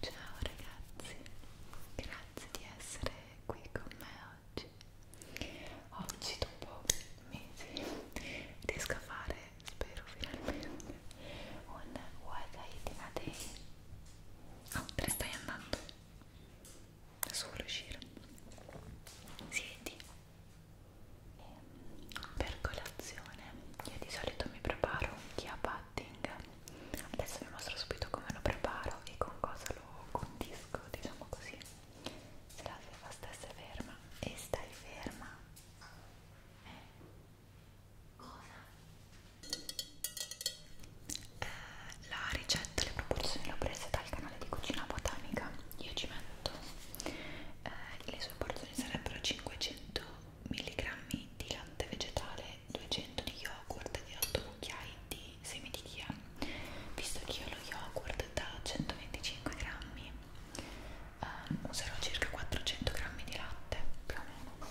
Ciao ragazzi, grazie di essere qui con me oggi. Oggi dopo mesi riesco a fare, spero finalmente, un Wagai di Matei. Oh, te ne stai andando? Adesso vuole uscire. Siedi. Ehm, per colazione io di solito mi preparo un chiapatti pudding adesso vi mostro subito come lo preparo e con cosa lo condisco diciamo così se la feva stessa è ferma e stai ferma eh. cosa? Eh, la ricetta, le proporzioni le ho prese dal canale di cucina botanica io ci metto eh, le sue porzioni sarebbero 500 mg di latte vegetale, 200 di yogurt e 8 cucchiai di semi di chia, visto che io lo yogurt da 125 grammi um, userò circa 400 grammi di latte più o meno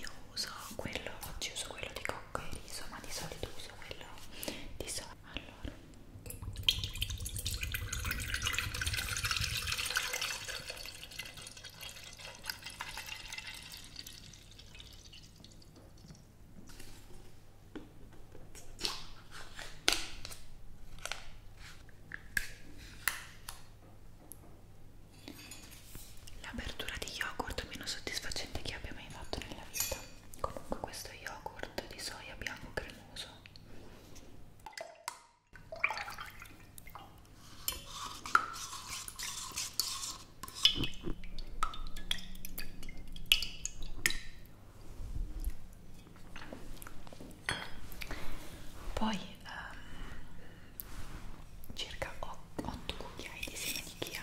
io uso quello, oggi uso quello di cocco e riso, ma di solito uso quello di soia. Allora l'apertura di yogurt meno soddisfacente che abbia mai fatto nella vita comunque questo yogurt di soia bianco cremoso poi um, circa 8 cucchiai di semi di chia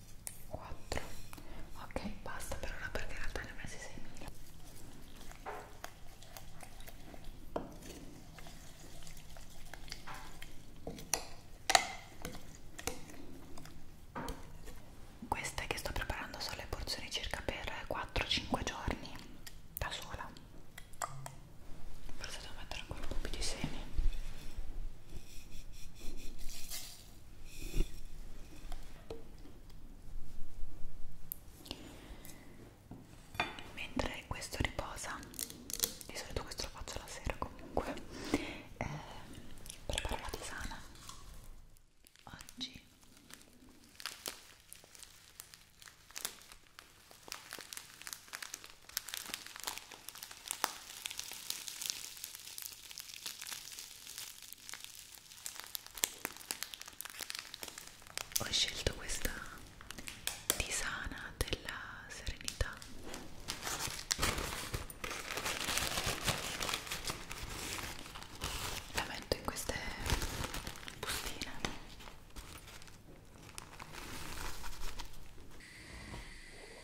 4 ok basta per ora perché in realtà ne ho messi 6.000 queste che sto preparando sono le porzioni circa per 4-5 giorni da sola forse devo mettere ancora un po' più di semi mentre questo riposa di solito questo lo faccio la sera comunque eh, preparo la tisana oggi ho scelto questa tisana della serenità la metto in queste bustine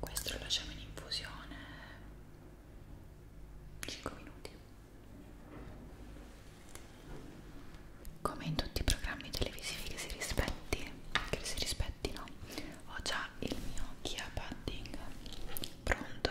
Questo lo lasciamo in infusione 5 minuti come in tutti i programmi televisivi che si rispetti che si rispettino ho già il mio Kia Padding pronto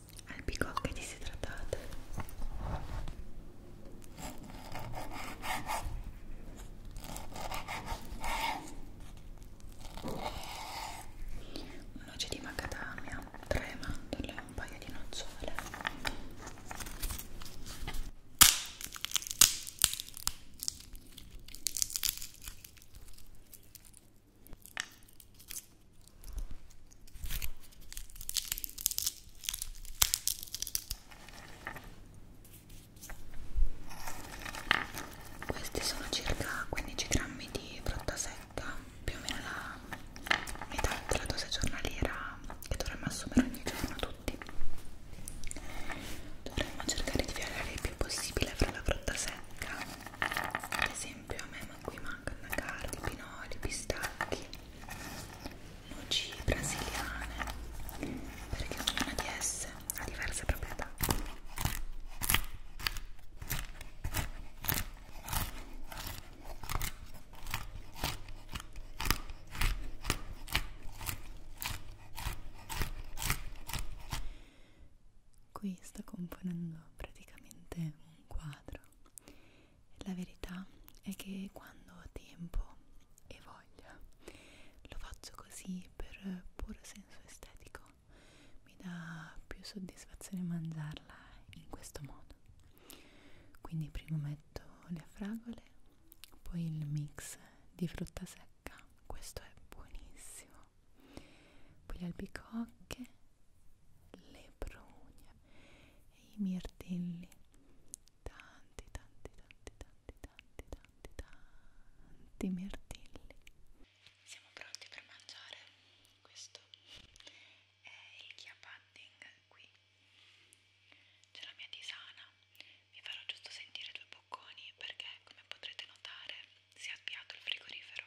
albicocche disidratate noce di macadamia, tre mandorle, un paio di nocciole questi sono circa 15 grammi di frutta secca, più o meno la metà della dose giornaliera che dovremmo assumere ogni giorno tutti. Dovremmo cercare di viaggiare il più possibile fra la frutta secca. Ad esempio a me ma qui mancano cardi, pinoli, pistacchi, noci brasiliane perché ognuna di esse ha diverse proprietà Qui sto componendo praticamente un quadro. La verità è che quando ho tempo e voglia lo faccio così per puro senso estetico. Mi dà più soddisfazione mangiarla in questo modo. Quindi prima metto le fragole, poi il mix di frutta secca. Questo è buonissimo poi le albicocche, le prugne e i mirtilli tanti tanti tanti tanti tanti tanti tanti mirtilli siamo pronti per mangiare questo è il chia pudding qui c'è la mia tisana vi farò giusto sentire due bocconi perché come potrete notare si è avviato il frigorifero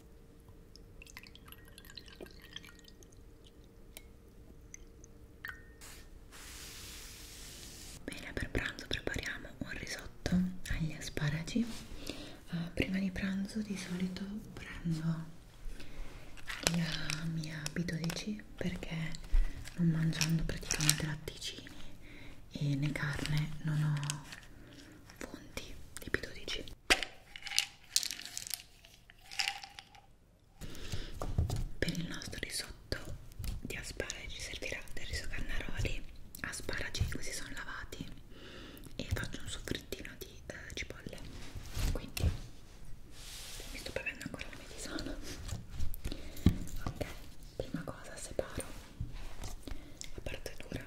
Bene, per pranzo prepariamo un risotto agli asparagi. Uh, prima di pranzo di solito prendo la mia B12 perché non mangiando praticamente latticini e né carne non ho fonti di B12 per il nostro risotto di asparagi ci servirà del riso carnaroli, asparagi così sono lavati e faccio un soffrittino di eh, cipolle. Quindi mi sto bevendo ancora la medisana. Ok, prima cosa separo la parte dura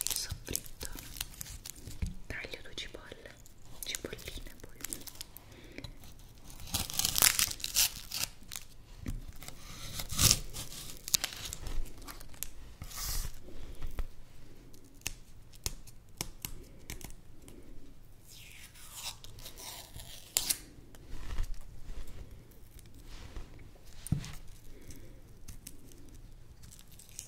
il soffritto taglio due cipolle cipolline poi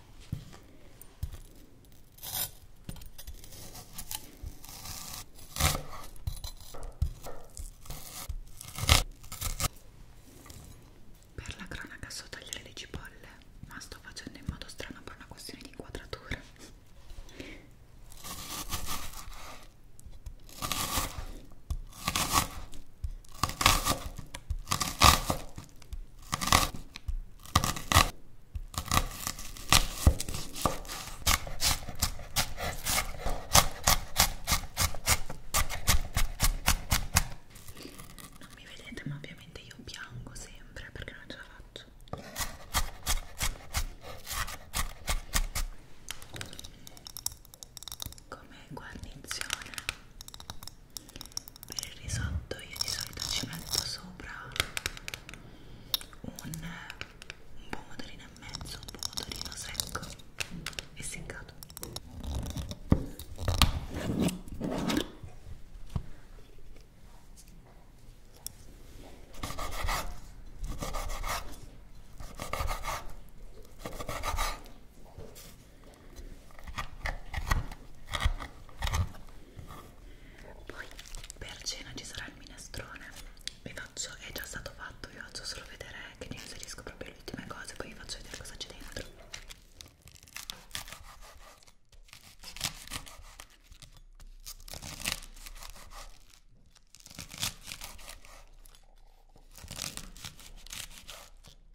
Per la cronaca so tagliare le cipolle, ma sto facendo in modo strano per una questione di inquadratura. Non mi vedete, ma ovviamente io piango sempre perché non ce la faccio. Come guarnizione per il risotto io di solito ci metto sopra un, un pomodorino e mezzo, un pomodorino secco e seccato poi per cena ci sarà il minestrone. Vi faccio, è già stato fatto, vi faccio solo vedere che ne inserisco proprio le ultime cose, poi vi faccio vedere cosa c'è dentro.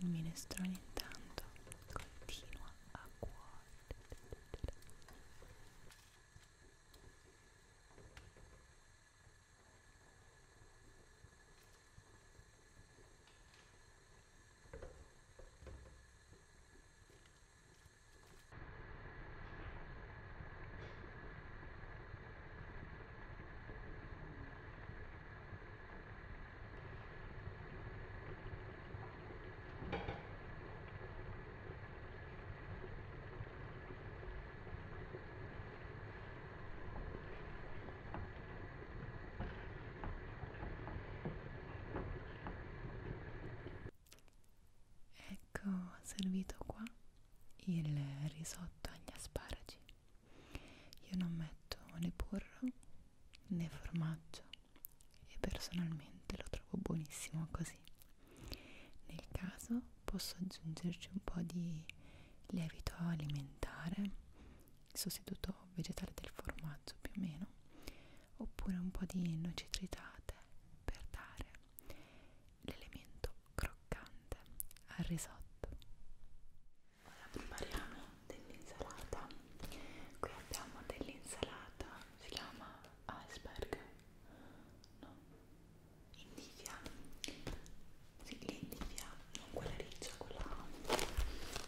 Il minestrone intanto continua a cuocere. Ecco servito qua il risotto agli asparagi io non metto né burro né formaggio e personalmente lo trovo buonissimo così. Nel caso posso aggiungerci un po' di lievito alimentare, sostituto vegetale del formaggio più o meno, oppure un po' di noci tritate per dare l'elemento croccante al risotto. Ora prepariamo dell'insalata. Qui abbiamo dell'insalata, si chiama iceberg, no? Indivia, sì, l'indivia, non quella riccia, quella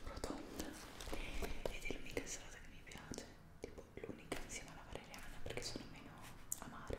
rotonda. Ed è l'unica insalata che mi piace, tipo l'unica insieme alla valeriana perché sono meno amare.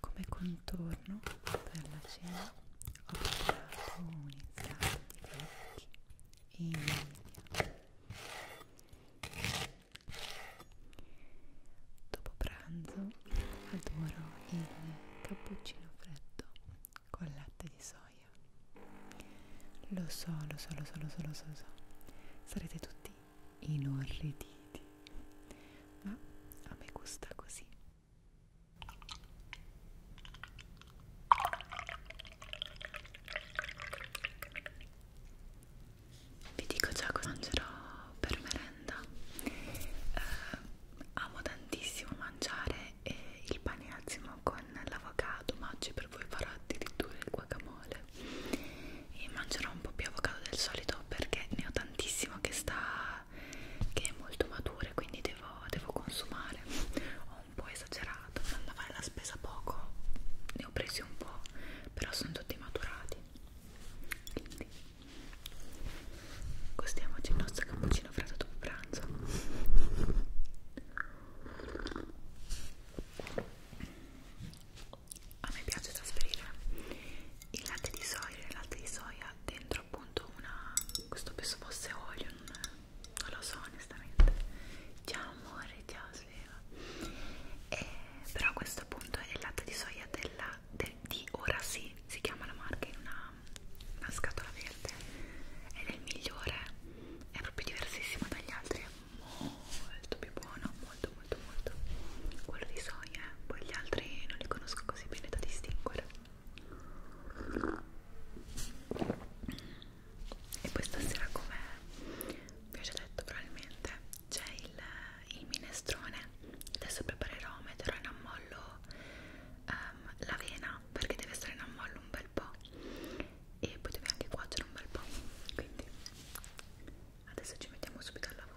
Come contorno per la cena ho preparato un insalata di vecchi in India Dopo pranzo adoro il cappuccino freddo con latte di soia. Lo so, lo so, lo so, lo so, lo so, lo so. Sarete tutti inorriditi, ma a me gusta così vi dico già cosa mangerò per merenda eh, amo tantissimo mangiare eh, il pane azimo con l'avocado ma oggi per voi farò addirittura il guacamole e mangerò un po' più avocado del solito perché ne ho tantissimo che sta che è molto matura quindi devo, devo consumare ho un po' esagerato maturato andando a fare la spesa poco ne ho presi un po' però sono tutti maturati quindi gustiamoci il nostro cappuccino freddo dopo pranzo a me piace trasferire il latte di soia il latte di soia dentro appunto una questo penso fosse olio non, non lo so onestamente ciao amore già sveva e, però questo appunto è il latte di soia della, del, di Ora Sì si chiama la marca in una, una scatola verde ed è il migliore è proprio diversissimo dagli altri è molto più buono molto molto molto quello di soia eh? poi gli altri non li conosco così bene da distinguere e poi stasera come vi ho già detto probabilmente c'è il, il minestrone adesso preparerò, metterò in ammollo um, l'avena perché deve stare in ammollo un bel po' e poi deve anche cuocere un bel po' quindi adesso ci mettiamo subito al lavoro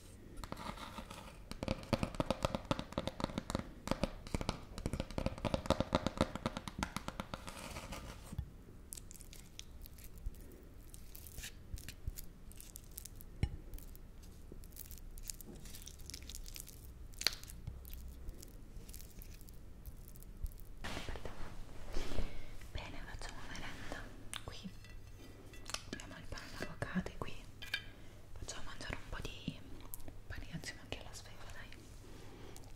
Bene, facciamo merenda qui. Abbiamo il pane d'avocado qui facciamo mangiare un po' di pane insieme anche alla sveglia, dai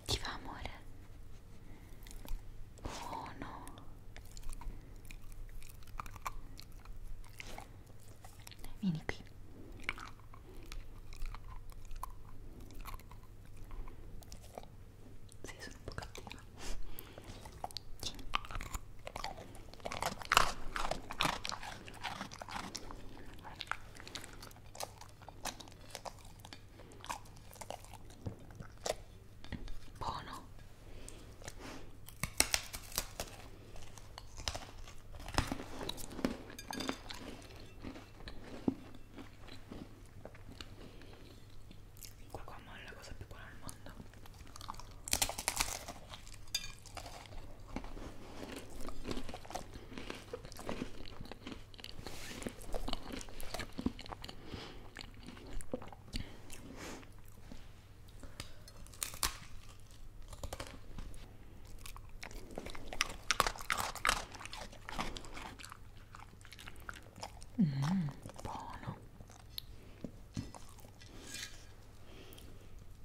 ti fa amore? buono oh, vieni qui sì, sono un po' cattiva Buono. Il guacamole è la cosa più buona al mondo. Mm, buono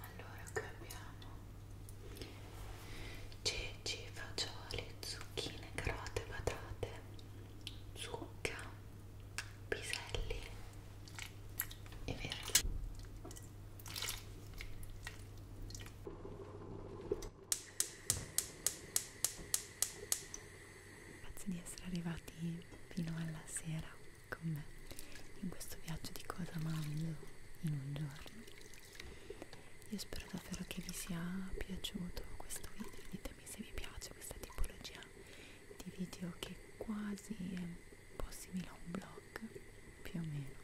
Allora qui abbiamo ceci, fagioli, zucchine, carote, patate, zucca piselli e verdi grazie di essere arrivati fino alla sera con me in questo viaggio di cosa mangio in un giorno io spero davvero che vi sia piaciuto questo video ditemi se vi piace questa tipologia di video che quasi è un po' simile a un blog, più o meno.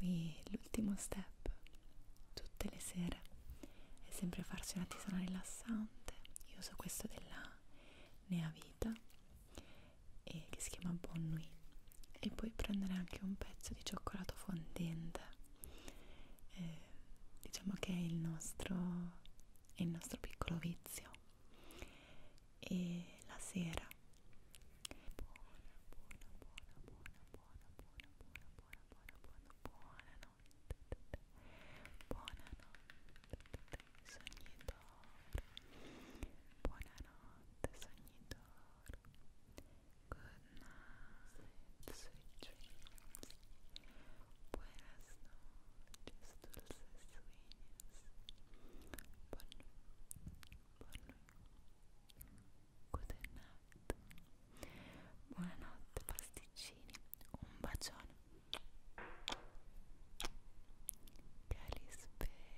Qui l'ultimo step tutte le sere è sempre farsi una tisana rilassante. Io uso questo della Nea Vita e eh, che si chiama Bon Nuit e poi prendere anche un pezzo di cioccolato fondente eh, diciamo che è il nostro, è il nostro piccolo vizio e la sera buona buona buona buona buona buona buona buona buona buona buonanotte buonanotte sognitore buonanotte sognitore Good night, sweet dreams. Buenas noches, dulces sueños. Bon, bon, good night. Buonanotte, pasticcini. Un bacione. Calispera.